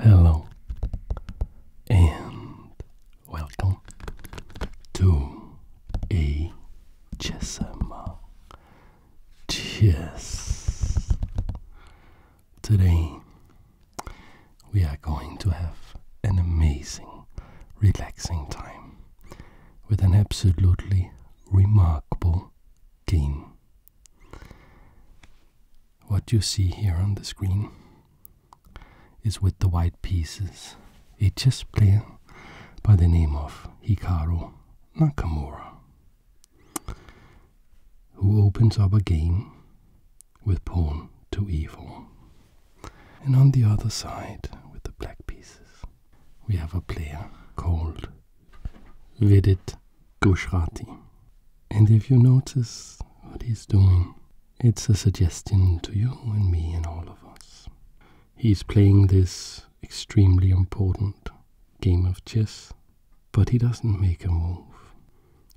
Hello and welcome to a chess ASMR. Cheers! Today we are going to have an amazing, relaxing time with an absolutely remarkable game what you see here on the screen is with the white pieces a chess player by the name of Hikaru Nakamura, who opens up a game with pawn to e4. And on the other side, with the black pieces, we have a player called Vidit Gujarati. And if you notice what he's doing, it's a suggestion to you and me and all of us. He's playing this extremely important game of chess, but he doesn't make a move.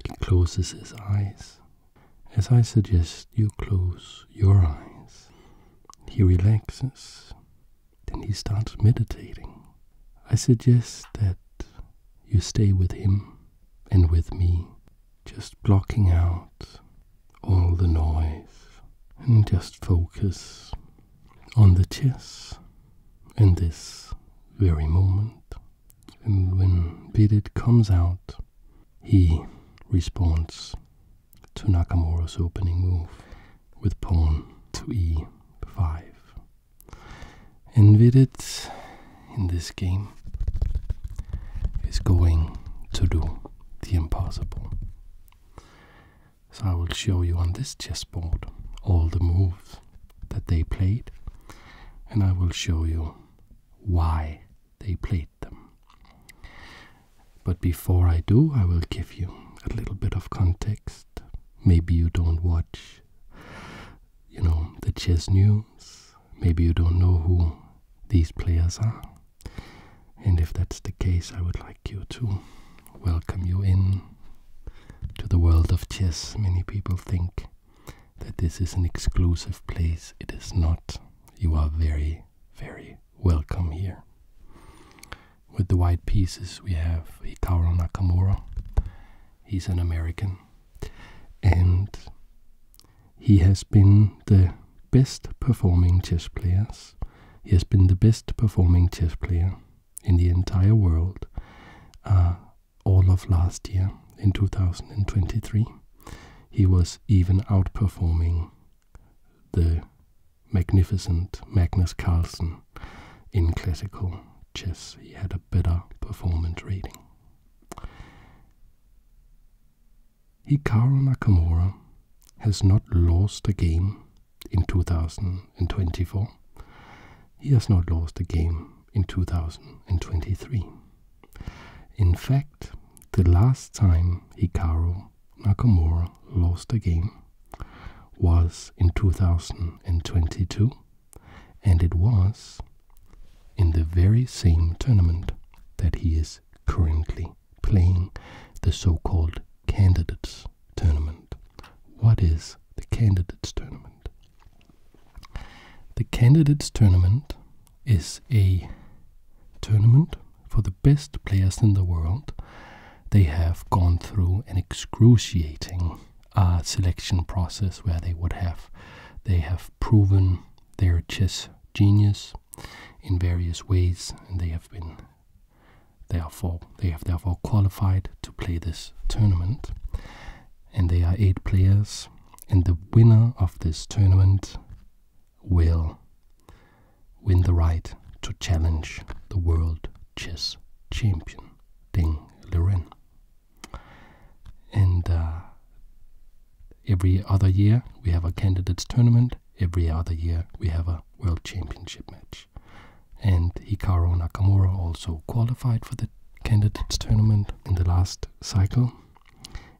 He closes his eyes. As I suggest you close your eyes, he relaxes. Then he starts meditating. I suggest that you stay with him and with me, just blocking out all the noise and just focus on the chess and this very moment. And when Bidit comes out, he responds to Nakamura's opening move with pawn to e5. Invaded in this game is going to do the impossible. So I will show you on this chessboard all the moves that they played, and I will show you why they played them. But before I do, I will give you a little bit of context. Maybe you don't watch you know the chess news. Maybe you don't know who these players are. And if that's the case, I would like you to welcome you in to the world of chess. Many people think that this is an exclusive place. It is not. You are very, very welcome here. With the white pieces, we have Hikaru Nakamura. He's an American and he has been the best performing chess players. He has been the best performing chess player in the entire world uh, all of last year in 2023. He was even outperforming the magnificent Magnus Carlsen in classical chess. He had better performance reading. Hikaru Nakamura has not lost a game in 2024. He has not lost a game in 2023. In fact, the last time Hikaru Nakamura lost a game was in 2022 and it was in the very same tournament that he is currently playing, the so-called Candidates Tournament. What is the Candidates Tournament? The Candidates Tournament is a tournament for the best players in the world. They have gone through an excruciating a selection process where they would have they have proven their chess genius in various ways and they have been therefore they have therefore qualified to play this tournament and they are eight players and the winner of this tournament will win the right to challenge the world chess champion Ding Liren. And uh, every other year we have a candidates tournament. Every other year we have a world championship match. And Hikaru Nakamura also qualified for the candidates tournament in the last cycle.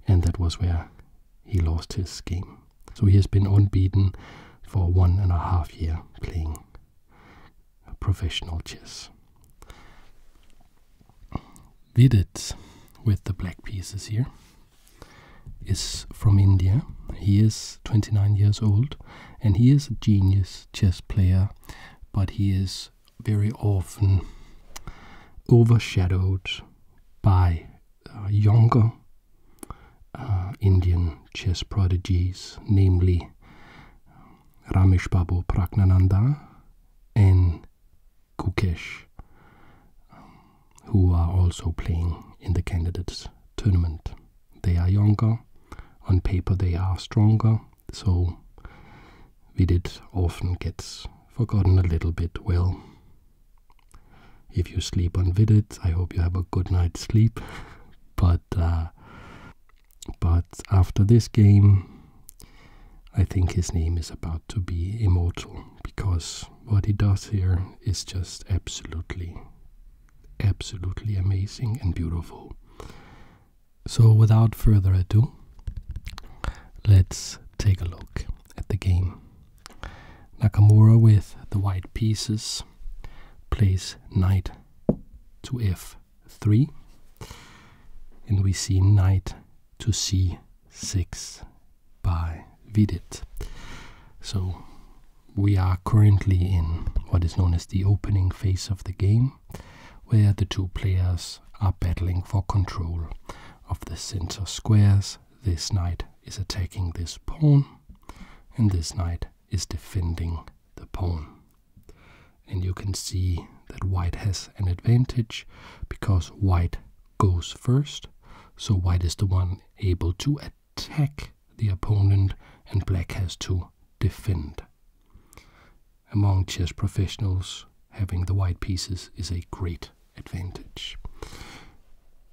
And that was where he lost his game. So he has been unbeaten for one and a half year playing professional chess. Vidit, with the black pieces here, is from India. He is 29 years old and he is a genius chess player, but he is very often overshadowed by uh, younger uh, Indian chess prodigies, namely Ramesh Babu Praknananda and Kukesh, who are also playing in the candidates tournament. They are younger, on paper they are stronger, so Vidit often gets forgotten a little bit. Well, if you sleep on Vidit, I hope you have a good night's sleep, but uh, but after this game, I think his name is about to be immortal because what he does here is just absolutely, absolutely amazing and beautiful. So, without further ado, let's take a look at the game. Nakamura with the white pieces plays knight to f 3 and we see knight to c6 by Vidit. So we are currently in what is known as the opening phase of the game, where the two players are battling for control of the center squares. This knight is attacking this pawn, and this knight is defending the pawn. And you can see that white has an advantage because white goes first. So white is the one able to attack the opponent and black has to defend. Among chess professionals, having the white pieces is a great advantage.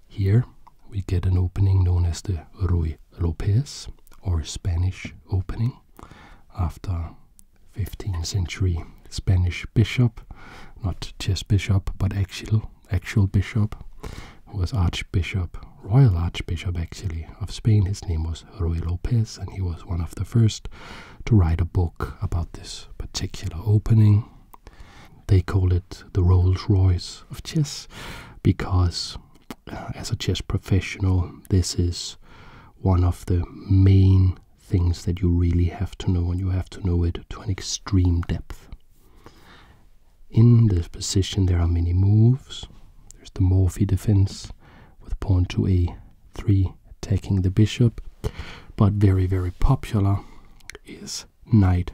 Here we get an opening known as the Ruy Lopez or Spanish opening after 15th century Spanish bishop, not chess bishop, but actual, actual bishop, was Archbishop, Royal Archbishop actually, of Spain. His name was Ruy Lopez, and he was one of the first to write a book about this particular opening. They call it the Rolls Royce of chess because, uh, as a chess professional, this is one of the main things that you really have to know, and you have to know it to an extreme depth. In this position, there are many moves. There's the Morphy defense with pawn to a3 taking the bishop, but very, very popular is knight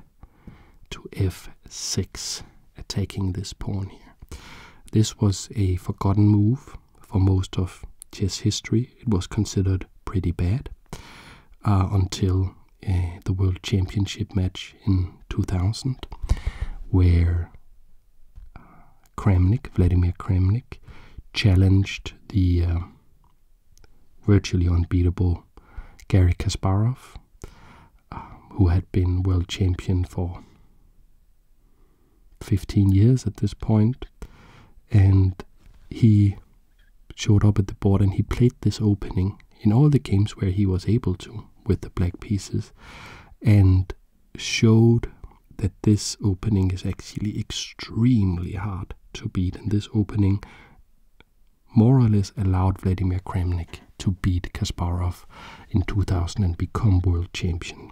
to f6 attacking this pawn here. This was a forgotten move for most of chess history. It was considered pretty bad uh, until uh, the World Championship match in 2000, where uh, Kramnik, Vladimir Kramnik, challenged the virtually unbeatable Gary Kasparov, who had been world champion for 15 years at this point, and he showed up at the board and he played this opening in all the games where he was able to with the black pieces and showed that this opening is actually extremely hard to beat. And this opening more or less allowed Vladimir Kramnik to beat Kasparov in 2000 and become world champion.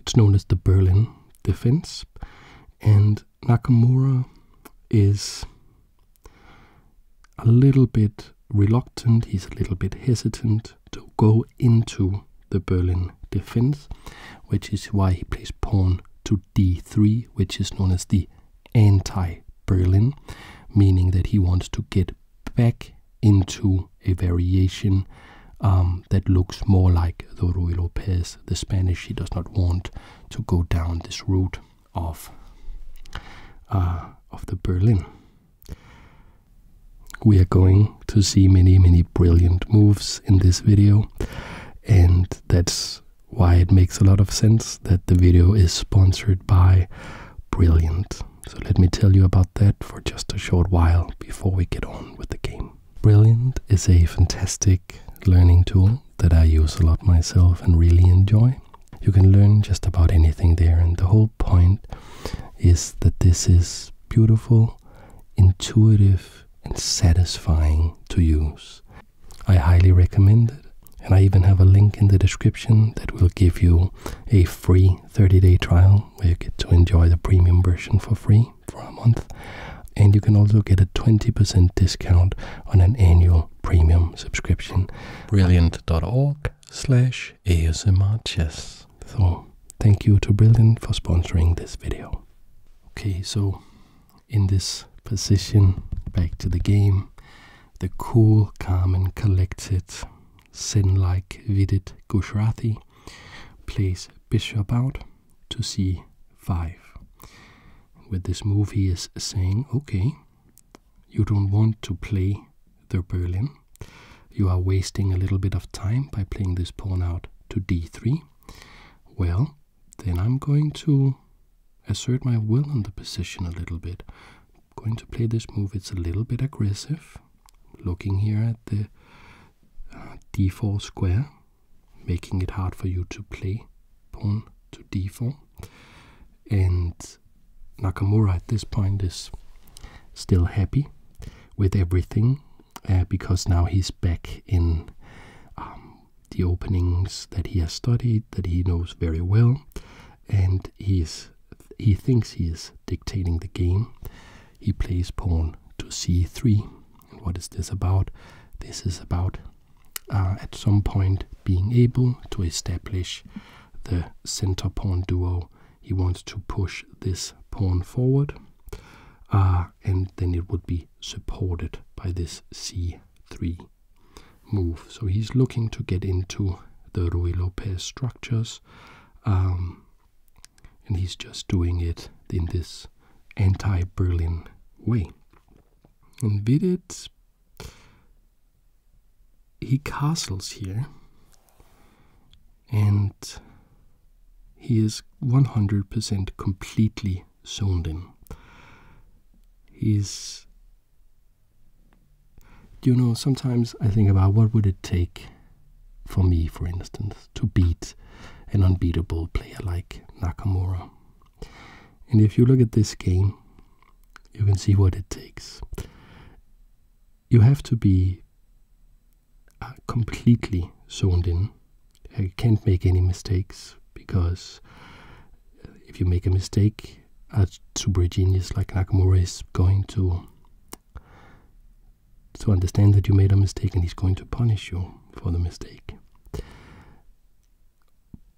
It's known as the Berlin Defense, and Nakamura is a little bit reluctant, he's a little bit hesitant to go into the Berlin Defense, which is why he plays pawn to d3, which is known as the anti Berlin, meaning that he wants to get back into a variation um, that looks more like the Ruy Lopez, the Spanish. He does not want to go down this route of uh, of the Berlin. We are going to see many, many brilliant moves in this video, and that's why it makes a lot of sense that the video is sponsored by Brilliant. So let me tell you about that for just a short while before we get on. Brilliant is a fantastic learning tool that I use a lot myself and really enjoy. You can learn just about anything there, and the whole point is that this is beautiful, intuitive, and satisfying to use. I highly recommend it, and I even have a link in the description that will give you a free 30 day trial where you get to enjoy the premium version for free for a month. And you can also get a 20% discount on an annual premium subscription. Brilliant.org slash ASMR chess. So thank you to Brilliant for sponsoring this video. Okay, so in this position, back to the game, the cool, calm and collected Sin like Vidit Gujarati plays bishop out to c5. With this move, he is saying, okay, you don't want to play the Berlin. You are wasting a little bit of time by playing this pawn out to d3. Well, then I'm going to assert my will on the position a little bit. I'm going to play this move. It's a little bit aggressive. Looking here at the uh, d4 square, making it hard for you to play pawn to d4. And Nakamura at this point is still happy with everything uh, because now he's back in um, the openings that he has studied, that he knows very well, and he, is, he thinks he is dictating the game he plays pawn to c3. what is this about? This is about uh, at some point being able to establish the center pawn duo. He wants to push this pawn forward, uh, and then it would be supported by this c3 move. So he's looking to get into the Ruy Lopez structures. Um, and he's just doing it in this anti-Berlin way. And with it, he castles here, and he is 100% completely zoned in. He's, you know, sometimes I think about what would it take for me, for instance, to beat an unbeatable player like Nakamura. And if you look at this game, you can see what it takes. You have to be uh, completely zoned in. You can't make any mistakes because uh, if you make a mistake, a super genius like Nakamura is going to to understand that you made a mistake and he's going to punish you for the mistake.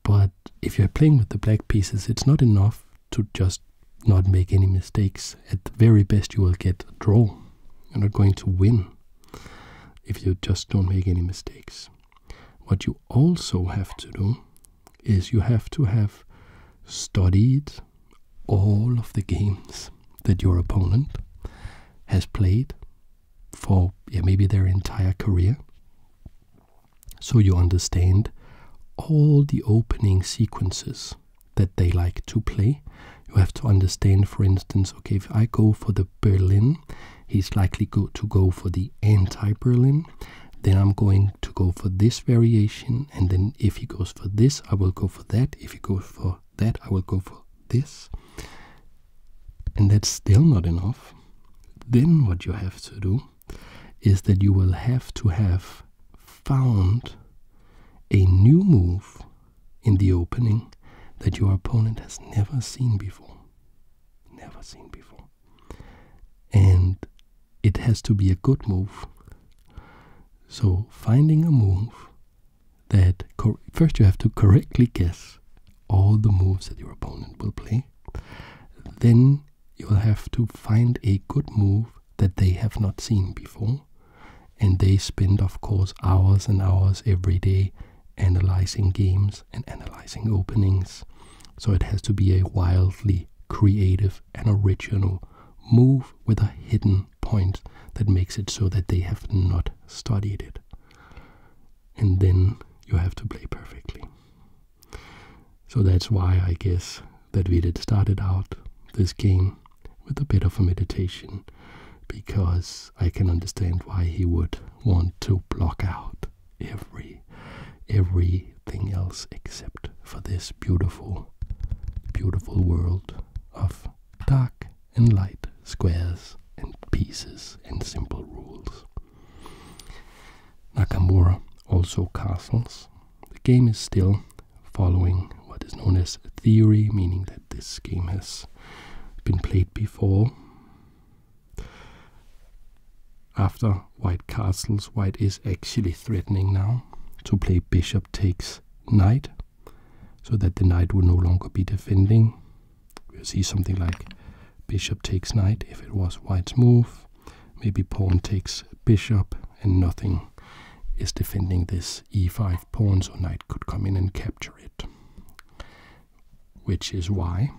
But if you're playing with the black pieces, it's not enough to just not make any mistakes. At the very best, you will get a draw. You're not going to win if you just don't make any mistakes. What you also have to do is you have to have studied all of the games that your opponent has played for maybe their entire career. So you understand all the opening sequences that they like to play. You have to understand, for instance, okay, if I go for the Berlin, he's likely to go for the anti-Berlin. Then I'm going to go for this variation, and then if he goes for this, I will go for that. If he goes for that, I will go for this and that's still not enough, then what you have to do is that you will have to have found a new move in the opening that your opponent has never seen before. Never seen before. And it has to be a good move. So, finding a move that first you have to correctly guess all the moves that your opponent will play. Then you'll have to find a good move that they have not seen before. And they spend, of course, hours and hours every day analyzing games and analyzing openings. So it has to be a wildly creative and original move with a hidden point that makes it so that they have not studied it. And then you have to play perfectly. So that's why I guess that we had started out this game with a bit of a meditation because I can understand why he would want to block out every everything else except for this beautiful beautiful world of dark and light, squares and pieces, and simple rules. Nakamura also castles. The game is still following what is known as theory, meaning that this game has been played before. After white castles, white is actually threatening now to play bishop takes knight so that the knight will no longer be defending. We'll see something like bishop takes knight if it was white's move. Maybe pawn takes bishop and nothing is defending this e5 pawn, so knight could come in and capture it. Which is why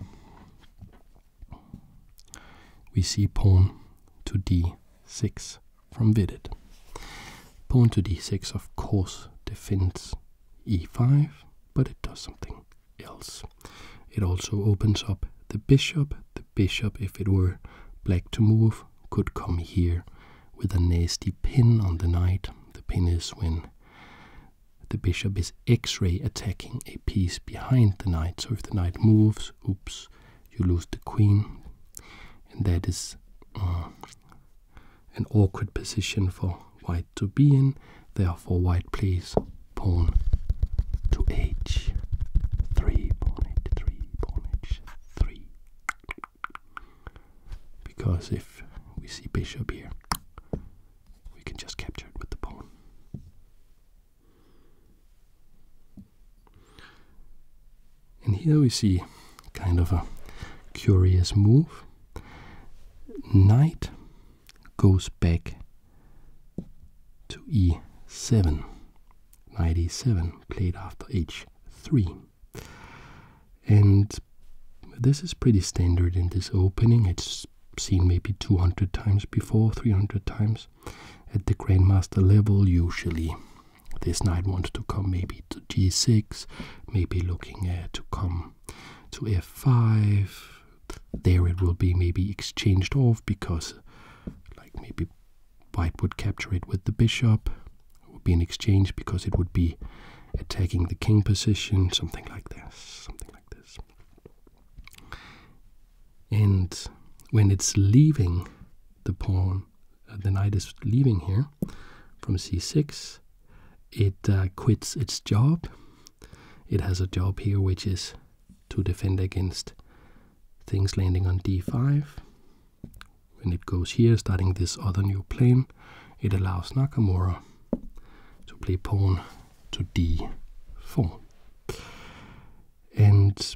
we see pawn to d6 from Vidit. Pawn to d6, of course, defends e5, but it does something else. It also opens up the bishop. The bishop, if it were black to move, could come here with a nasty pin on the knight. The pin is when the bishop is x-ray attacking a piece behind the knight. So if the knight moves, oops, you lose the queen. And that is uh, an awkward position for white to be in. Therefore, white plays pawn to h3, pawn h3, pawn h3. Because if we see bishop here, we can just capture it with the pawn. And here we see kind of a curious move. Knight goes back to e7. Knight e7 played after h3. And this is pretty standard in this opening. It's seen maybe 200 times before, 300 times. At the Grandmaster level, usually this knight wants to come maybe to g6, maybe looking uh, to come to f5 there it will be maybe exchanged off because like maybe white would capture it with the bishop it would be an exchange because it would be attacking the king position something like this something like this and when it's leaving the pawn uh, the knight is leaving here from c6. It uh, quits its job. It has a job here which is to defend against things landing on d5. When it goes here, starting this other new plane, it allows Nakamura to play pawn to d4. And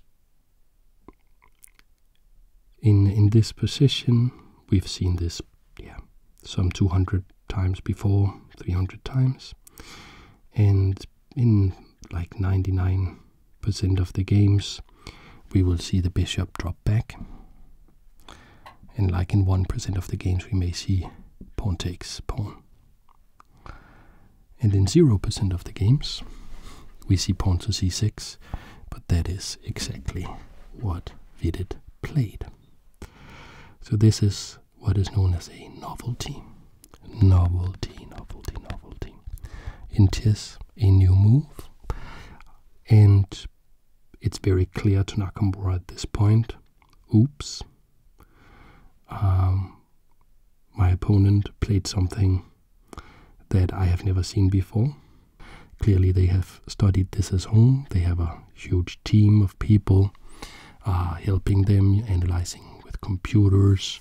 in in this position, we've seen this yeah, some 200 times before, 300 times. And in like 99% of the games, we will see the bishop drop back. And like in 1% of the games, we may see pawn takes pawn. And in 0% of the games, we see pawn to c6, but that is exactly what we did played. So this is what is known as a novelty. Novelty, novelty, novelty. It is a new move, and it's very clear to Nakamura at this point. Oops, um, my opponent played something that I have never seen before, Clearly, they have studied this at home. They have a huge team of people uh, helping them, analyzing with computers.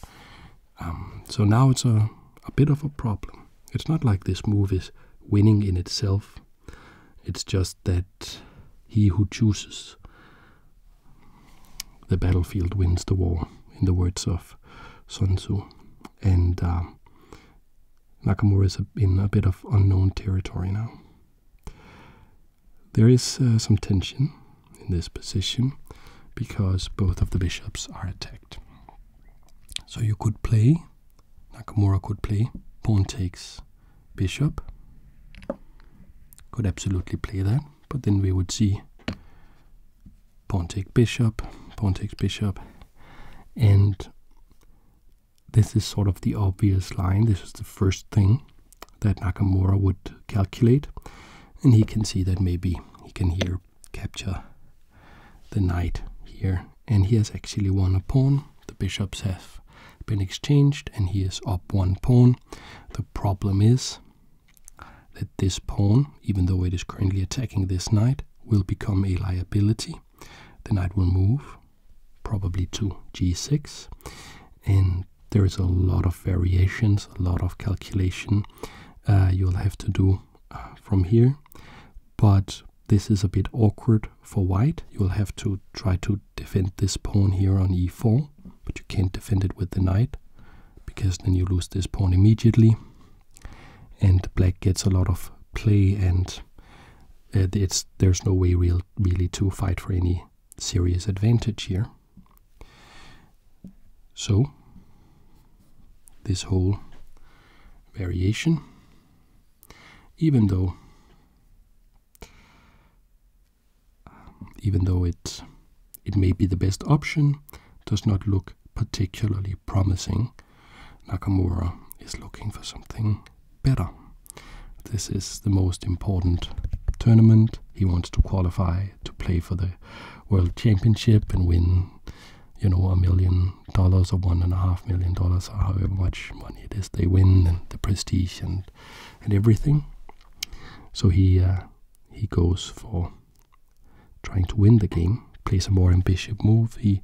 Um, so now it's a, a bit of a problem. It's not like this move is winning in itself, it's just that he who chooses the battlefield wins the war, in the words of Sun Tzu. And um, Nakamura is in a bit of unknown territory now. There is uh, some tension in this position because both of the bishops are attacked. So you could play, Nakamura could play pawn takes bishop. Could absolutely play that, but then we would see pawn takes bishop, pawn takes bishop, and this is sort of the obvious line. This is the first thing that Nakamura would calculate. And he can see that maybe he can here capture the knight here. And he has actually won a pawn. The bishops have been exchanged and he is up one pawn. The problem is that this pawn, even though it is currently attacking this knight, will become a liability. The knight will move probably to g6. And there is a lot of variations, a lot of calculation uh, you'll have to do uh, from here. But this is a bit awkward for white. You'll have to try to defend this pawn here on e4, but you can't defend it with the knight because then you lose this pawn immediately. And black gets a lot of play and uh, it's there's no way real really to fight for any serious advantage here. So this whole variation, even though even though it it may be the best option, does not look particularly promising Nakamura is looking for something better. This is the most important tournament. He wants to qualify to play for the World Championship and win, you know, a million dollars or one and a half million dollars or however much money it is they win and the prestige and and everything. So he uh, he goes for trying to win the game, plays a more ambitious move. He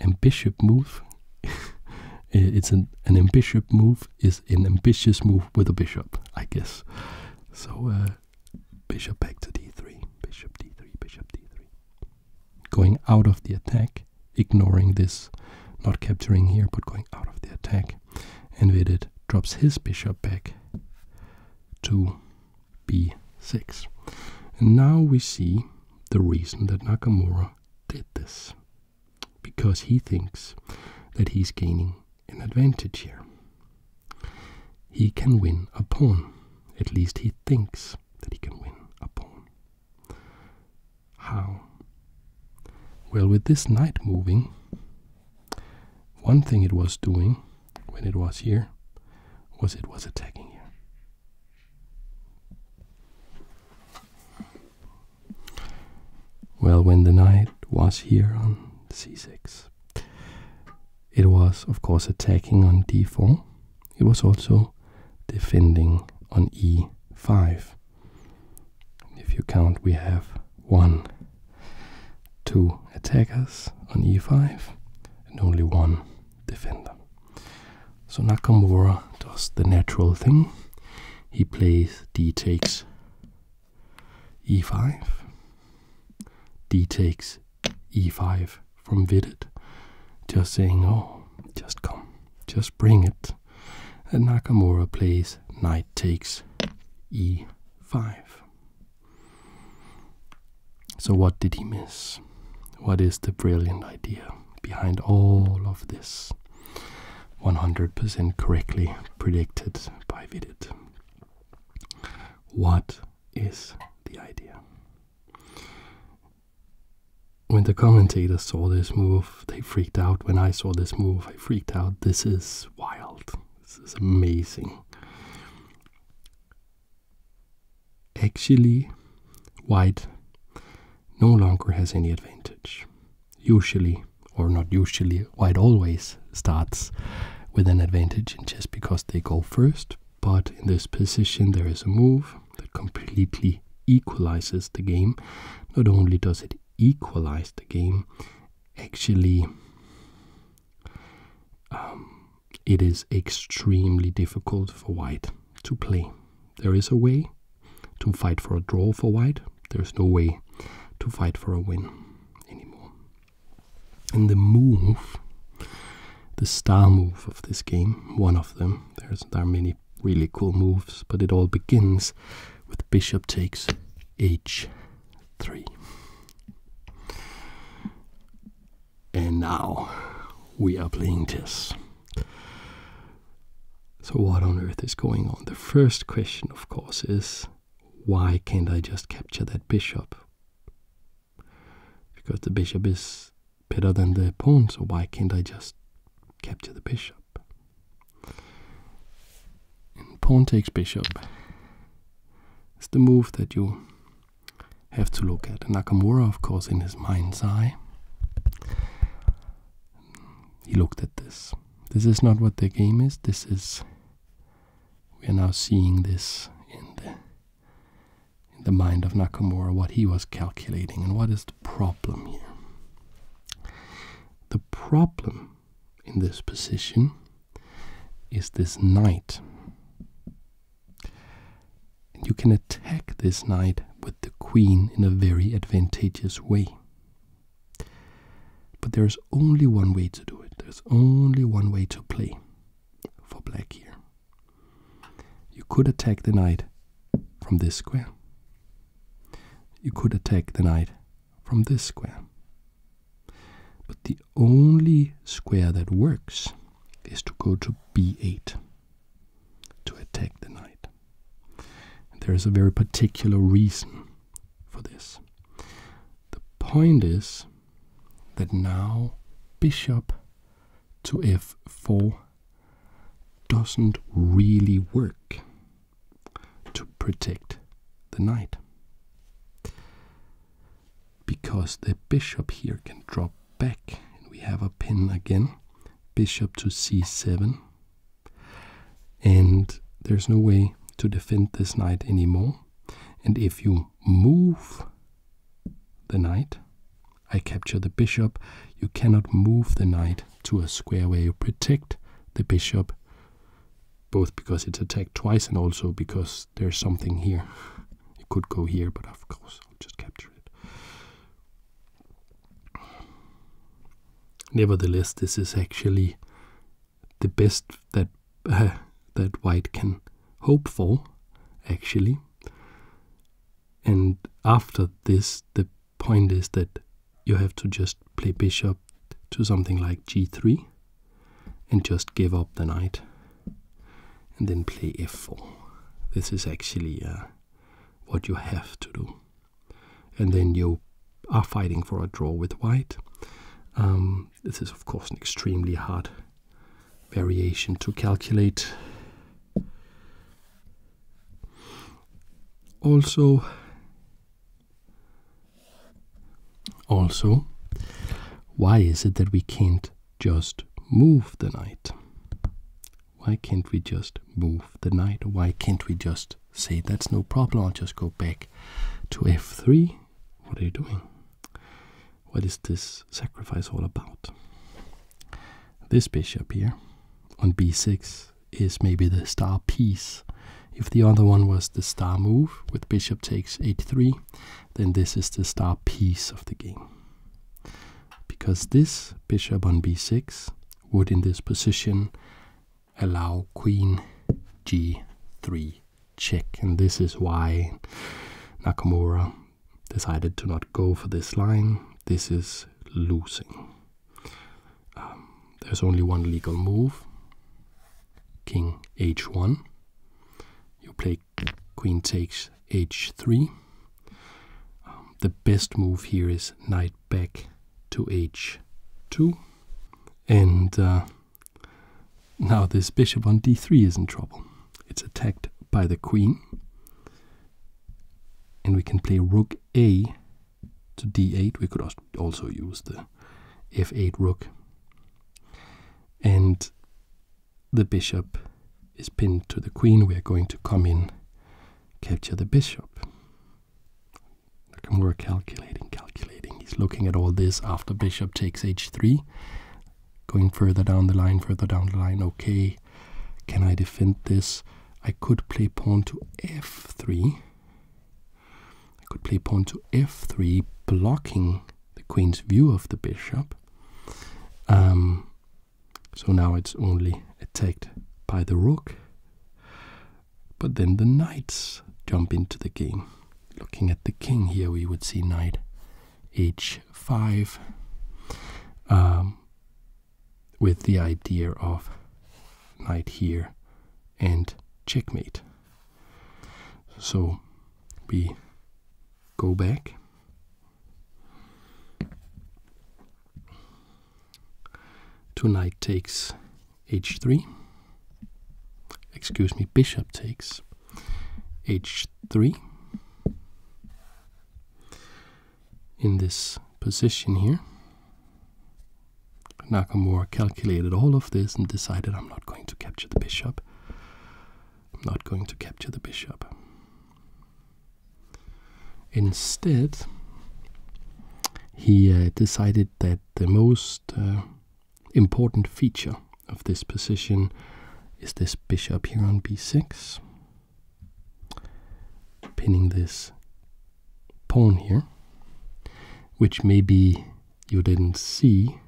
ambitious move. it's an, an ambitious move is an ambitious move with a bishop, I guess. So uh, bishop back to d3, bishop d3, bishop d3. Going out of the attack, ignoring this, not capturing here, but going out of the attack. And with it, drops his bishop back to b6. And now we see the reason that Nakamura did this because he thinks that he's gaining an advantage here. He can win a pawn. At least he thinks that he can win a pawn. How? Well, with this knight moving, one thing it was doing when it was here was it was attacking here. Well, when the knight was here on c6, it was, of course, attacking on d4. It was also defending on e5. If you count, we have one, two attackers on e5, and only one defender. So Nakamura does the natural thing. He plays d takes e5, d takes e5 from Vidit, just saying, oh, just come, just bring it. And Nakamura plays knight takes e5. So, what did he miss? What is the brilliant idea? behind all of this. 100% correctly predicted by Vidit. What is the idea? When the commentators saw this move, they freaked out. When I saw this move, I freaked out. This is wild. This is amazing. Actually, White no longer has any advantage. Usually, or not usually, White always starts with an advantage just because they go first. But in this position, there is a move that completely equalizes the game. Not only does it equalize the game, actually, um, it is extremely difficult for white to play. There is a way to fight for a draw for white. There's no way to fight for a win anymore. And the move, the star move of this game, one of them, there are many really cool moves, but it all begins with bishop takes h3. And now we are playing chess. So, what on earth is going on? The first question, of course, is why can't I just capture that bishop? Because the bishop is better than the pawn, so why can't I just capture the bishop? And pawn takes bishop It's the move that you have to look at. Nakamura, of course, in his mind's eye, he looked at this. This is not what the game is. This is. We are now seeing this in the in the mind of Nakamura, what he was calculating, and what is the problem here. The problem in this position is this knight. You can attack this knight with the queen in a very advantageous way. But there is only one way to do it. There's only one way to play for black here. You could attack the knight from this square. You could attack the knight from this square. But the only square that works is to go to b8 to attack the knight. there is a very particular reason for this. The point is that now bishop to f4 doesn't really work to protect the knight. Because the bishop here can drop back, we have a pin again. Bishop to c7 and there's no way to defend this knight anymore. And if you move the knight, I capture the bishop. You cannot move the knight to a square where you protect the bishop, both because it's attacked twice and also because there's something here. It could go here, but of course I'll just capture it. Nevertheless, this is actually the best that uh, that White can hope for, actually. And after this, the point is that you have to just play bishop to something like g3 and just give up the knight and then play f4. This is actually uh, what you have to do and then you are fighting for a draw with white. Um, this is, of course, an extremely hard variation to calculate. Also, also, why is it that we can't just move the knight? Why can't we just move the knight? Why can't we just say that's no problem? I'll just go back to f3. What are you doing? What is this sacrifice all about? This bishop here on b6 is maybe the star piece. If the other one was the star move with bishop takes a 3 then this is the star piece of the game. Because this bishop on b6 would in this position allow queen g3 check. And this is why Nakamura decided to not go for this line. This is losing. Um, there's only one legal move king h1. You play queen takes h3. Um, the best move here is knight back to h2 and uh, now this bishop on d3 is in trouble. It's attacked by the queen and we can play rook a to d8. We could also use the f8 rook and the bishop is pinned to the queen. We are going to come in, capture the bishop. Look, we're calculating, calculating. He's looking at all this after bishop takes h3. Going further down the line, further down the line. Okay, can I defend this? I could play pawn to f3. I could play pawn to f3, blocking the queen's view of the bishop. Um, so now it's only attacked by the rook. But then the knights jump into the game. Looking at the king here, we would see knight h5 um, with the idea of knight here and checkmate. So we go back two knight takes h3 excuse me bishop takes h3 in this position here nakamura calculated all of this and decided i'm not going to capture the bishop i'm not going to capture the bishop Instead, he uh, decided that the most uh, important feature of this position is this bishop here on b6, pinning this pawn here, which maybe you didn't see.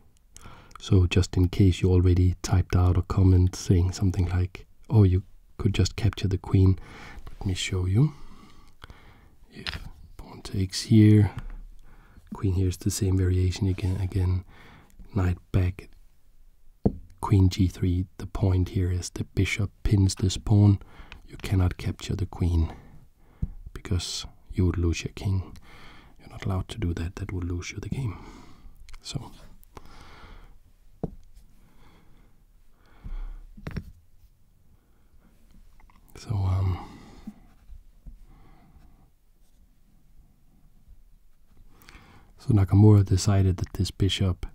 So, just in case you already typed out a comment saying something like, oh, you could just capture the queen. Let me show you. If pawn takes here, queen here is the same variation again. Again, knight back, queen g3. The point here is the bishop pins this pawn. You cannot capture the queen because you would lose your king. You're not allowed to do that. That would lose you the game. So. So, um, so Nakamura decided that this bishop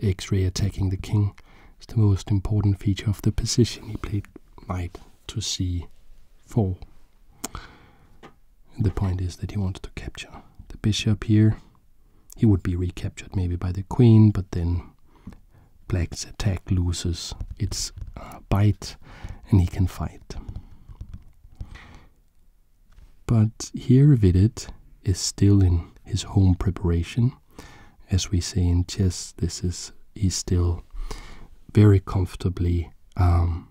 x-ray attacking the king is the most important feature of the position. He played knight to c4. the point is that he wants to capture the bishop here he would be recaptured maybe by the queen, but then black's attack loses its uh, bite and he can fight. But here Vidit is still in his home preparation. As we say in chess, this is he's still very comfortably um,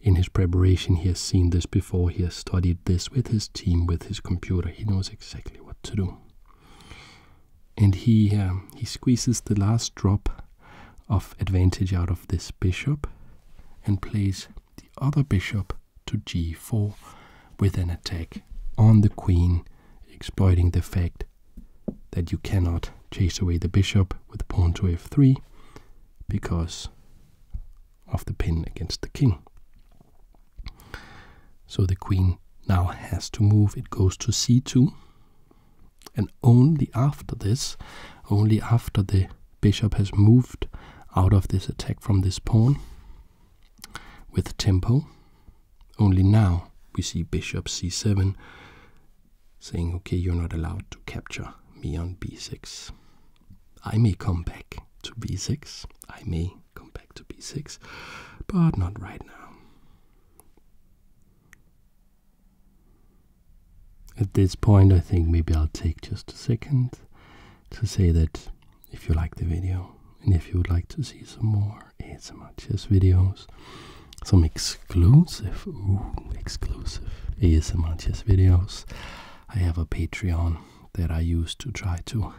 in his preparation. He has seen this before. He has studied this with his team, with his computer. He knows exactly what to do and he uh, he squeezes the last drop of advantage out of this bishop and plays the other bishop to g4 with an attack on the queen exploiting the fact that you cannot chase away the bishop with pawn to f3 because of the pin against the king so the queen now has to move. It goes to c2. And only after this, only after the bishop has moved out of this attack from this pawn with tempo, only now we see bishop c7 saying, okay, you're not allowed to capture me on b6. I may come back to b6. I may come back to b6, but not right now. At this point, I think maybe I'll take just a second to say that if you like the video and if you would like to see some more ASMR chess videos, some exclusive, ooh, exclusive ASMR chess videos, I have a Patreon that I use to try to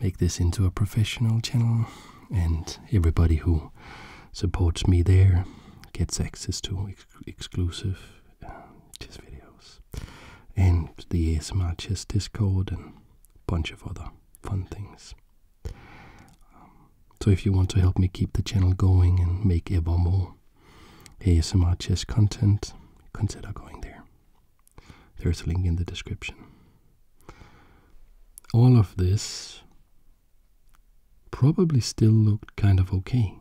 make this into a professional channel, and everybody who supports me there gets access to exclusive just uh, videos and the ASMR chess Discord and bunch of other fun things. Um, so if you want to help me keep the channel going and make ever more ASMR chess content, consider going there. There's a link in the description. All of this probably still looked kind of okay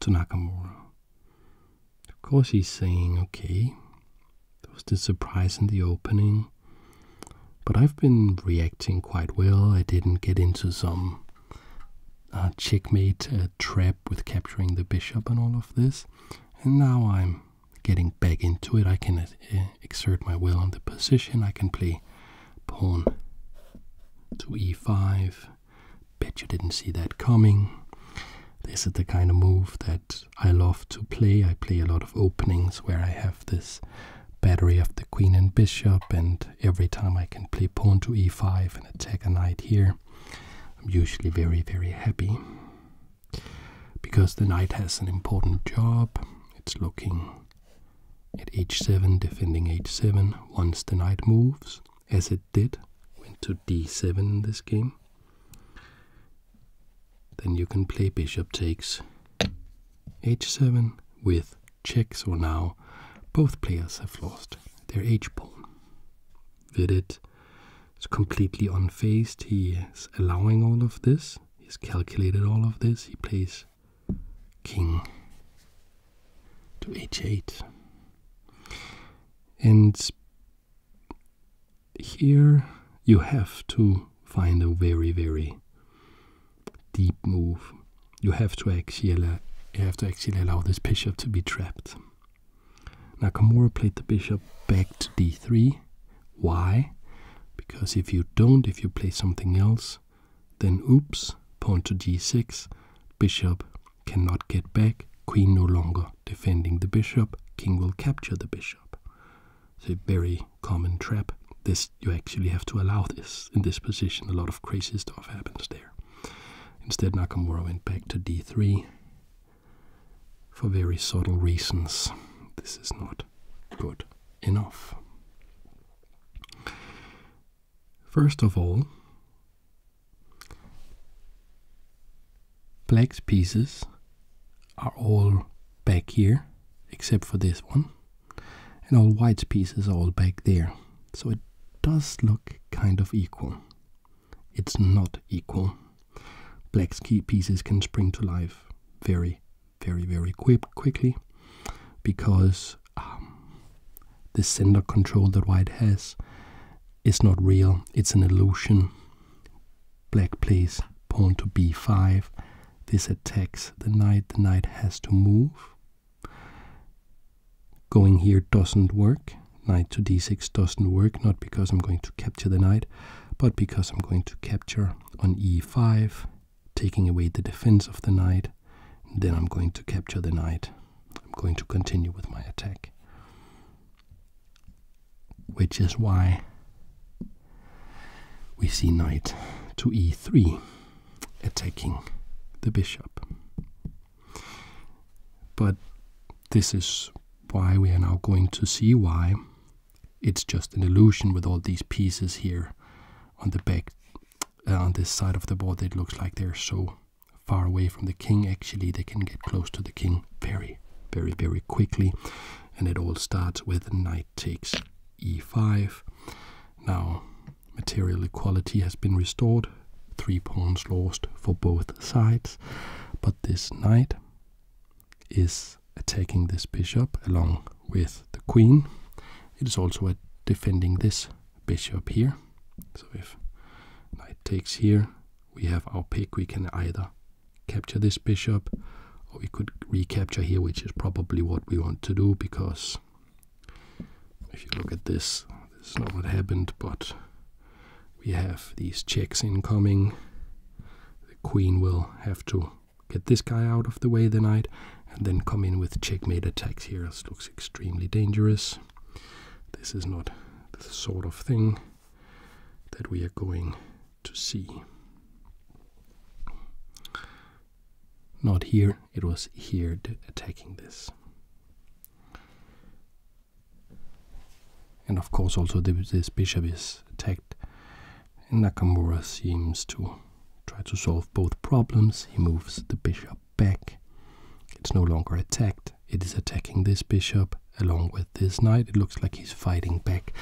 to Nakamura. Of course, he's saying, okay, there was this surprise in the opening, but I've been reacting quite well. I didn't get into some uh, checkmate uh, trap with capturing the bishop and all of this, and now I'm getting back into it. I can uh, exert my will on the position. I can play pawn to e5. Bet you didn't see that coming. This is the kind of move that I love to play. I play a lot of openings where I have this battery of the queen and bishop, and every time I can play pawn to e5 and attack a knight here, I'm usually very, very happy. Because the knight has an important job, it's looking at h7, defending h7. Once the knight moves, as it did, went to d7 in this game, then you can play bishop takes h7 with check. So now both players have lost their h pawn. Vidit is completely unfazed, he is allowing all of this he's calculated all of this. He plays king to h8. And here you have to find a very, very deep move. You have to actually you have to actually allow this bishop to be trapped. Now, Nakamura played the bishop back to d3 why? Because if you don't, if you play something else, then oops, pawn to g6, bishop cannot get back, queen no longer defending the bishop, king will capture the bishop. It's a very common trap. This you actually have to allow this in this position. A lot of crazy stuff happens there. Instead Nakamura went back to d3 for very subtle reasons. This is not good enough. First of all, Black's pieces are all back here, except for this one, and all White's pieces are all back there. So it does look kind of equal. It's not equal. Black's key pieces can spring to life very, very very quick quickly because um, the center control that white has is not real it's an illusion black plays pawn to b5 this attacks the knight the knight has to move going here doesn't work knight to d6 doesn't work not because i'm going to capture the knight but because i'm going to capture on e5, taking away the defense of the knight. Then I'm going to capture the knight. I'm going to continue with my attack. Which is why we see knight to e3 attacking the bishop. But this is why we are now going to see why it's just an illusion with all these pieces here on the back uh, on this side of the board it looks like they're so far away from the king actually they can get close to the king very very very quickly and it all starts with knight takes e5 now material equality has been restored three pawns lost for both sides but this knight is attacking this bishop along with the queen. It is also defending this bishop here. So if knight takes here, we have our pick. We can either capture this bishop or we could recapture here, which is probably what we want to do because if you look at this, this is not what happened, but we have these checks incoming. The queen will have to get this guy out of the way tonight, and then come in with checkmate attacks here. This looks extremely dangerous. This is not the sort of thing that we are going to see. Not here, it was here attacking this. And of course, also this bishop is attacked Nakamura seems to try to solve both problems. He moves the bishop back. It's no longer attacked. It is attacking this bishop along with this knight. It looks like he's fighting back.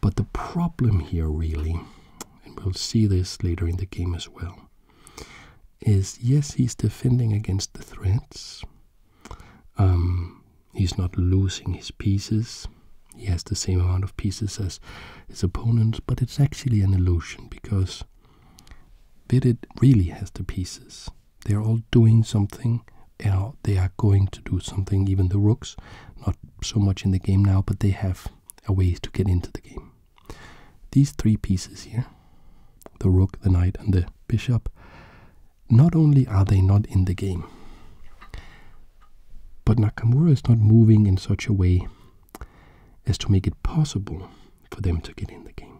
But the problem here really, and we'll see this later in the game as well, is yes, he's defending against the threats. Um, He's not losing his pieces. He has the same amount of pieces as his opponent, but it's actually an illusion because Vidit really has the pieces. They're all doing something. they are going to do something, even the rooks. Not so much in the game now, but they have a way to get into the game. These three pieces here the rook, the knight, and the bishop not only are they not in the game, but Nakamura is not moving in such a way as to make it possible for them to get in the game.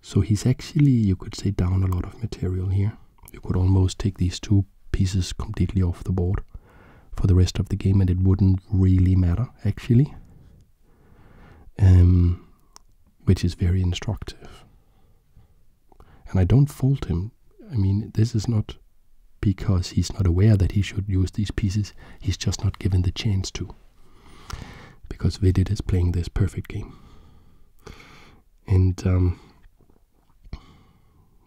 So he's actually, you could say, down a lot of material here. You could almost take these two pieces completely off the board for the rest of the game and it wouldn't really matter, actually. Um, which is very instructive. And I don't fault him. I mean, this is not because he's not aware that he should use these pieces, he's just not given the chance to. Because Vidit is playing this perfect game. And um,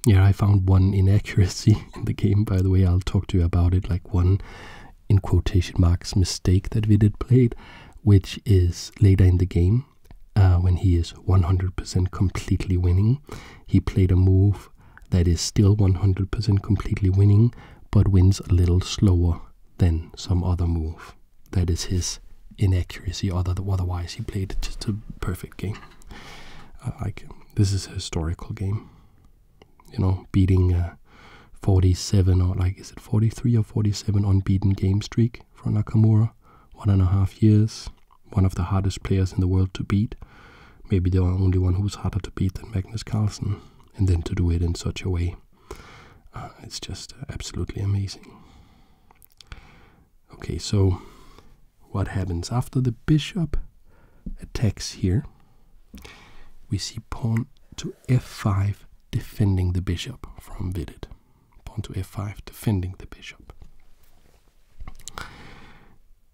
yeah, I found one inaccuracy in the game, by the way. I'll talk to you about it. Like one, in quotation marks, mistake that Vidit played, which is later in the game uh, when he is 100% completely winning. He played a move that is still 100% completely winning, but wins a little slower than some other move. That is his inaccuracy. otherwise, he played just a perfect game. like this is a historical game. You know, beating uh, 47 or like is it 43 or 47 unbeaten game streak for Nakamura, one and a half years one of the hardest players in the world to beat. Maybe the only one who's harder to beat than Magnus Carlsen, and then to do it in such a way. Uh, it's just absolutely amazing. Okay, so what happens after the bishop attacks here? We see pawn to f5 defending the bishop from Vidit. Pawn to f5 defending the bishop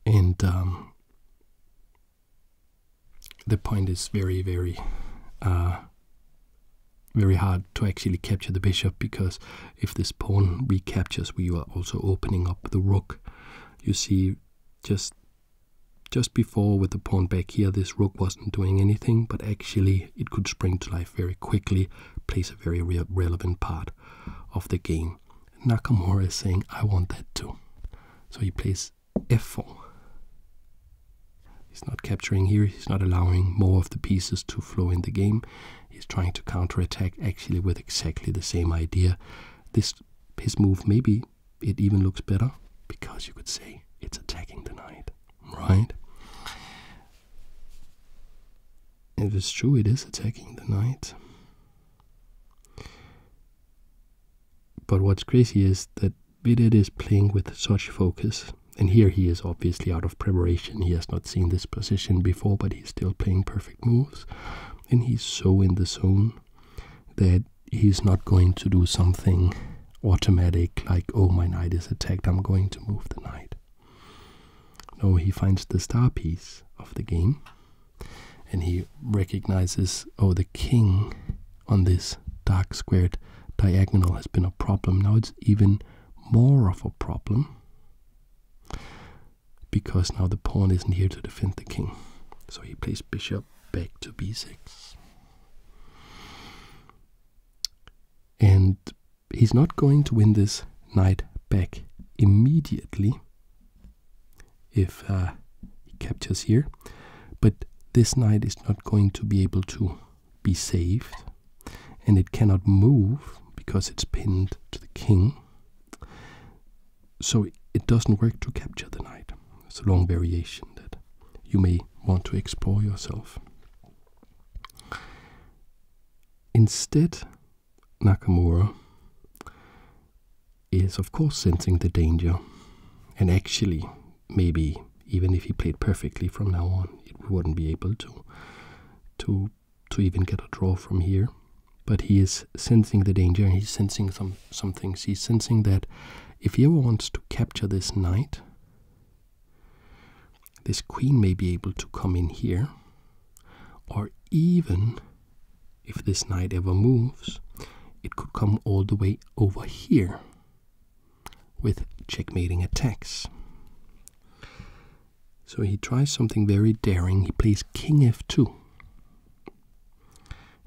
and um, the point is very very uh, very hard to actually capture the bishop because if this pawn recaptures we are also opening up the rook you see just just before with the pawn back here this rook wasn't doing anything but actually it could spring to life very quickly plays a very relevant part of the game. Nakamura is saying, I want that too. So he plays f4. He's not capturing here, he's not allowing more of the pieces to flow in the game. He's trying to counterattack actually with exactly the same idea. This his move maybe it even looks better because you could say it's attacking the knight. Right? It is true it is attacking the knight. But what's crazy is that Vidit is playing with such focus. And here he is obviously out of preparation. He has not seen this position before, but he's still playing perfect moves. And he's so in the zone that he's not going to do something automatic like, oh, my knight is attacked, I'm going to move the knight. Now he finds the star piece of the game and he recognizes, oh, the king on this dark squared diagonal has been a problem. Now it's even more of a problem because now the pawn isn't here to defend the king. So he plays bishop back to b6. And he's not going to win this knight back immediately if uh, he captures here, but this knight is not going to be able to be saved, and it cannot move because it's pinned to the king. So it doesn't work to capture the knight. It's a long variation that you may want to explore yourself. Instead, Nakamura is, of course, sensing the danger. And actually, maybe even if he played perfectly from now on, he wouldn't be able to, to, to even get a draw from here. But he is sensing the danger, and he's sensing some some things. He's sensing that if he ever wants to capture this knight, this queen may be able to come in here or even if this knight ever moves, it could come all the way over here with checkmating attacks. So he tries something very daring. He plays king f2.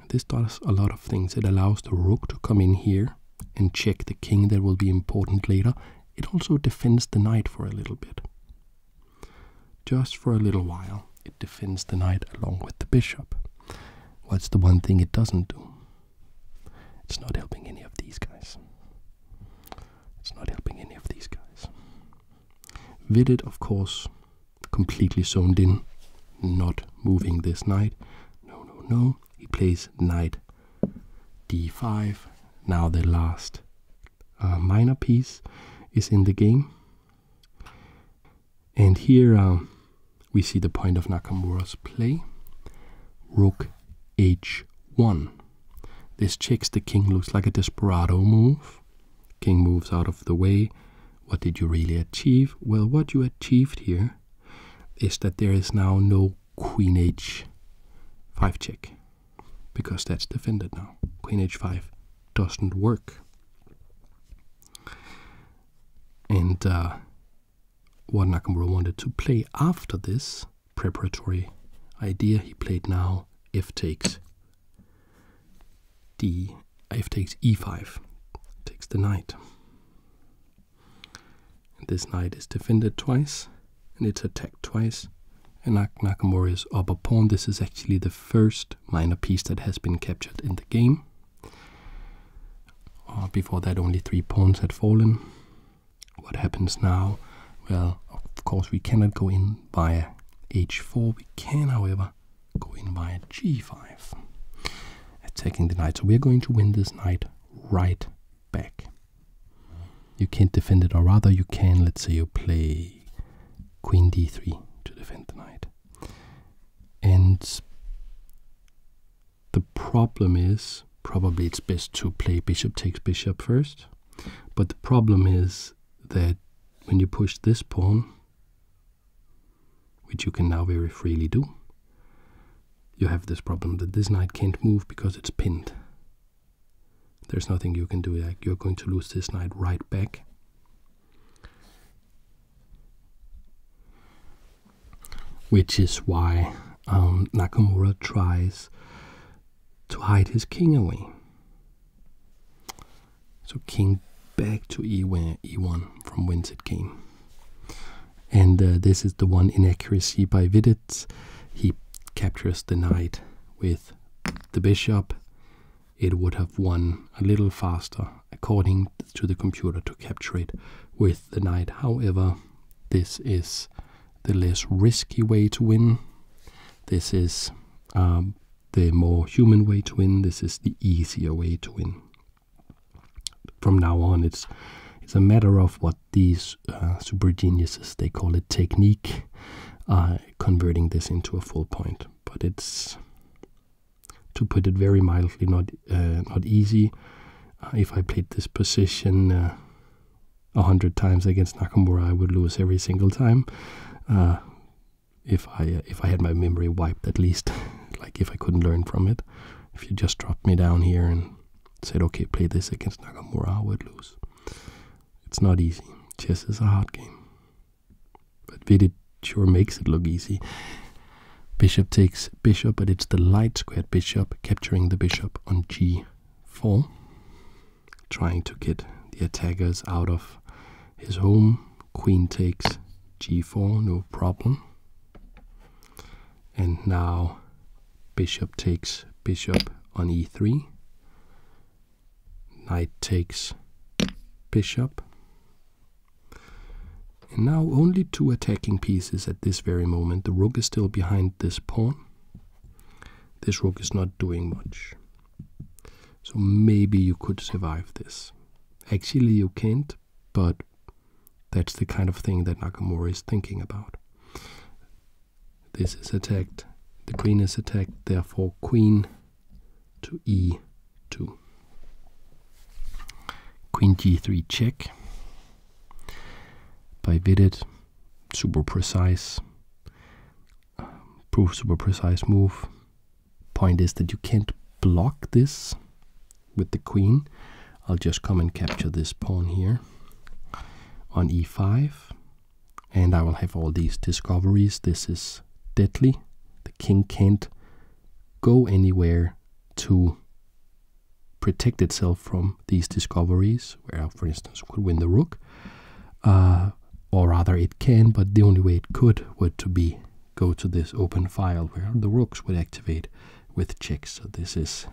This does a lot of things. It allows the rook to come in here and check the king that will be important later. It also defends the knight for a little bit. Just for a little while, it defends the knight along with the bishop. What's the one thing it doesn't do? It's not helping any of these guys. It's not helping any of these guys. Vidit, of course, completely zoned in, not moving this knight. No, no, no. He plays knight d5. Now the last a uh, minor piece is in the game. And here uh, we see the point of Nakamura's play. Rook h1. This checks the king, looks like a desperado move. King moves out of the way. What did you really achieve? Well, what you achieved here is that there is now no queen h5 check because that's defended now. Queen h5 doesn't work. And uh, what Nakamura wanted to play after this preparatory idea, he played now f takes d f takes e5 takes the knight. this knight is defended twice and it's attacked twice and is Nakamura's upper pawn. This is actually the first minor piece that has been captured in the game. Uh, before that, only three pawns had fallen. What happens now? Well, of course, we cannot go in via h4. We can, however, go in via g5, attacking the knight. So we are going to win this knight right back. You can't defend it, or rather, you can. Let's say you play queen d3 to defend the knight. And the problem is probably it's best to play bishop takes bishop first. But the problem is that when you push this pawn, which you can now very freely do, you have this problem that this knight can't move because it's pinned. There's nothing you can do. Like you're going to lose this knight right back. Which is why um, Nakamura tries to hide his king away. So king back to e1, from whence it came. And uh, this is the one inaccuracy by Vidit. He captures the knight with the bishop it would have won a little faster according to the computer to capture it with the knight. However, this is the less risky way to win. This is um, the more human way to win. This is the easier way to win. From now on, it's it's a matter of what these uh, super geniuses they call it technique. Uh, converting this into a full point, but it's to put it very mildly, not uh, not easy. Uh, if I played this position uh, a hundred times against Nakamura, I would lose every single time. if I if I had my memory wiped, at least, like if I couldn't learn from it, if you just dropped me down here and said, "Okay, play this against Nakamura," I would lose. It's not easy. Chess is a hard game. But Vidit sure makes it look easy. Bishop takes bishop, but it's the light squared bishop capturing the bishop on g4, trying to get the attackers out of his home. Queen takes g4, no problem. And now bishop takes bishop on e3, Knight takes bishop. And now only two attacking pieces at this very moment. The rook is still behind this pawn. This rook is not doing much. So maybe you could survive this. Actually, you can't, but that's the kind of thing that Nakamura is thinking about. This is attacked. The queen is attacked, therefore queen to e2. Queen g3 check by Vidit, super precise, um, proof super precise move. Point is that you can't block this with the queen. I'll just come and capture this pawn here on e5 and I will have all these discoveries. This is deadly. The king can't go anywhere to protect itself from these discoveries, where for instance, could win the rook. Uh, or rather, it can, but the only way it could would to be go to this open file where the rooks would activate with checks. So this is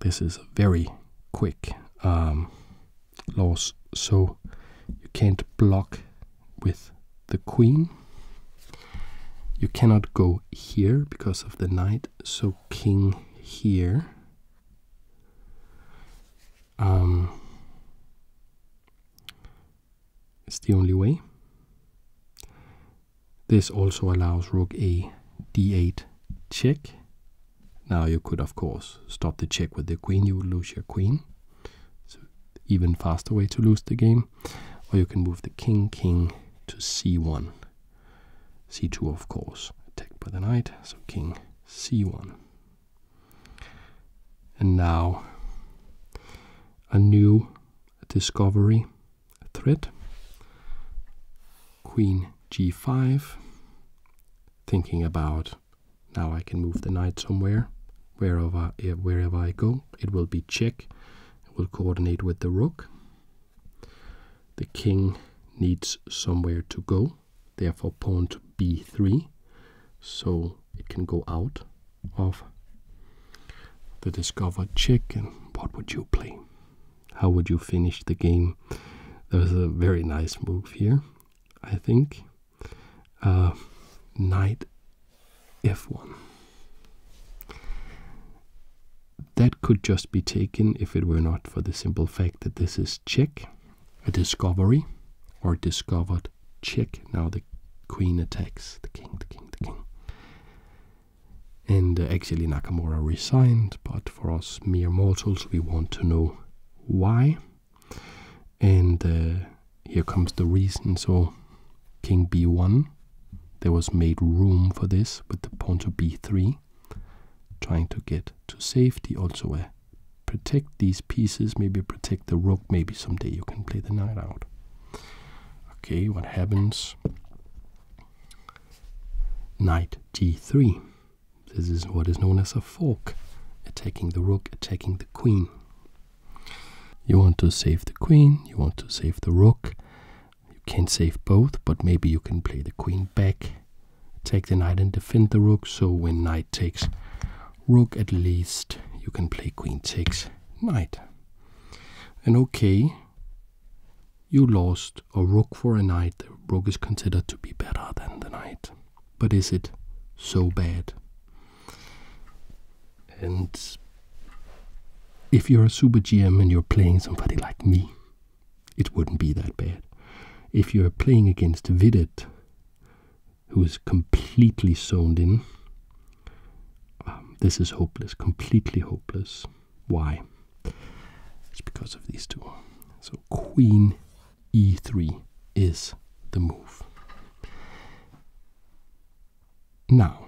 this is very quick um, laws. So you can't block with the queen. You cannot go here because of the knight, so king here. Um, it's the only way. This also allows rook a d8 check now you could, of course, stop the check with the queen. You would lose your queen. So even faster way to lose the game. Or you can move the king, king to c1. c2, of course, attacked by the knight. So king, c1. And now a new discovery threat. Queen g5. Thinking about now I can move the knight somewhere. Wherever, eh, wherever I go, it will be check. It will coordinate with the rook. The king needs somewhere to go. Therefore, pawn to b3. So it can go out of the discovered check. And what would you play? How would you finish the game? There's a very nice move here, I think uh, knight f1. That could just be taken if it were not for the simple fact that this is check, a discovery, or discovered check. Now the queen attacks the king, the king, the king. And uh, actually, Nakamura resigned, but for us mere mortals, we want to know why. And uh, here comes the reason. So, king b1, there was made room for this with the pawn to b3, trying to get to safety. Also, uh, protect these pieces, maybe protect the rook. Maybe someday you can play the knight out. Okay, what happens? Knight g3. This is what is known as a fork, attacking the rook, attacking the queen. You want to save the queen, you want to save the rook. You can not save both, but maybe you can play the queen back, take the knight and defend the rook. So when knight takes rook, at least you can play queen takes knight. And okay, you lost a rook for a knight. The rook is considered to be better than the knight but is it so bad? And if you're a super GM and you're playing somebody like me, it wouldn't be that bad. If you're playing against Vidit, who is completely zoned in, um, this is hopeless, completely hopeless. Why? It's because of these two. So queen e3 is the move. Now,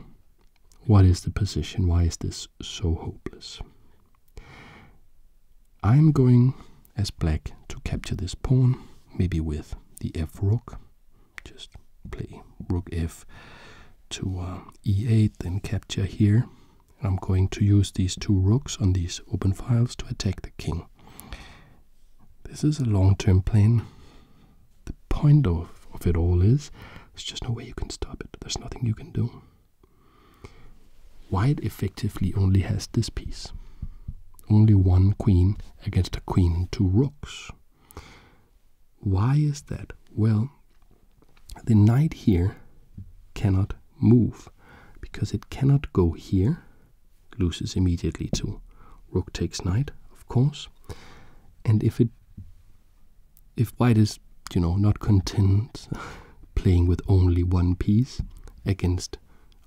what is the position? Why is this so hopeless? I'm going as black to capture this pawn, maybe with the f rook. Just play rook f to uh, e8, then capture here. I'm going to use these two rooks on these open files to attack the king this is a long-term plan. The point of, of it all is there's just no way you can stop it. There's nothing you can do. White effectively only has this piece. Only one queen against a queen and two rooks. Why is that? Well, the knight here cannot move because it cannot go here loses immediately to rook takes knight, of course. And if it if white is, you know, not content playing with only one piece against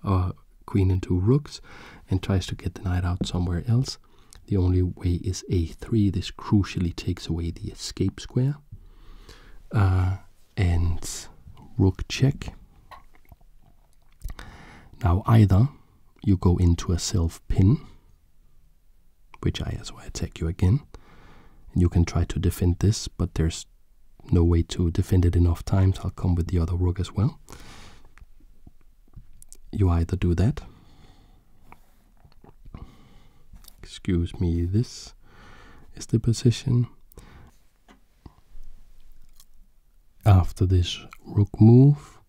a uh, queen and two rooks and tries to get the knight out somewhere else, the only way is a3. This crucially takes away the escape square. Uh, and rook check now, either you go into a self pin, which I as well attack you again, and you can try to defend this, but there's no way to defend it enough times. I'll come with the other rook as well. You either do that. Excuse me, this is the position. After this rook move,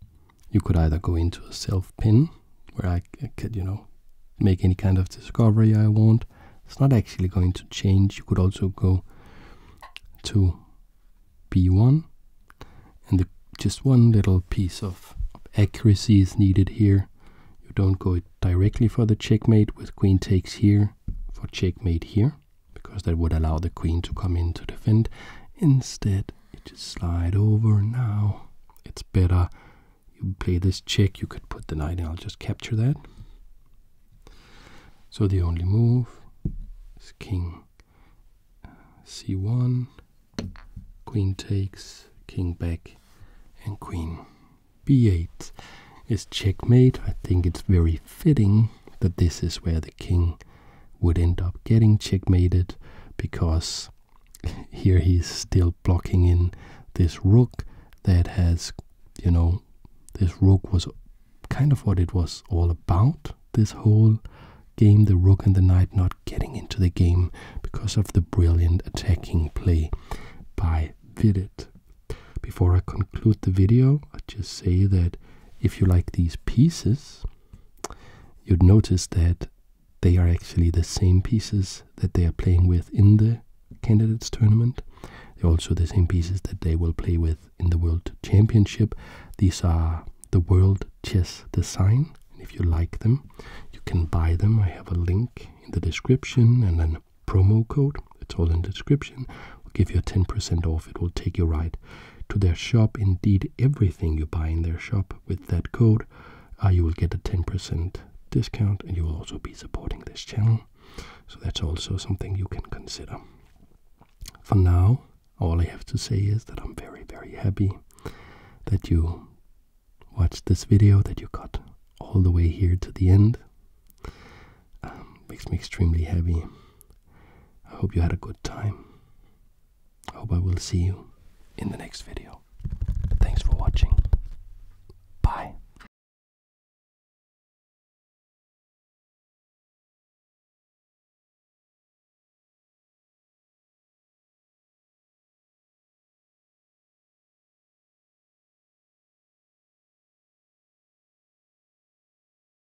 you could either go into a self pin, where I, could, you know, make any kind of discovery I want. It's not actually going to change. You could also go to b1, and just one little piece of accuracy is needed here. You don't go directly for the checkmate with queen takes here for checkmate here because that would allow the queen to come in to defend. Instead, you just slide over now. It's better. You play this check, you could put the knight, and I'll just capture that. So the only move is king uh, c1, queen takes, king back, and queen b8 is checkmate. I think it's very fitting that this is where the king would end up getting checkmated because here he's still blocking in this rook that has, you know, this rook was kind of what it was all about. This whole game, the rook and the knight not getting into the game because of the brilliant attacking play by Vidit. Before I conclude the video, I just say that if you like these pieces, you'd notice that they are actually the same pieces that they are playing with in the candidates tournament. They're also the same pieces that they will play with in the World Championship. These are the World Chess Design. And if you like them, you can buy them. I have a link in the description and then promo code. It's all in the description. We'll give you a 10% off. It will take you right to their shop. Indeed, everything you buy in their shop with that code, uh, you will get a 10% discount and you will also be supporting this channel. So that's also something you can consider. For now, all I have to say is that I'm very, very happy that you watched this video, that you got all the way here to the end. Um, makes me extremely happy I hope you had a good time. I hope I will see you in the next video. Thanks for watching. Bye.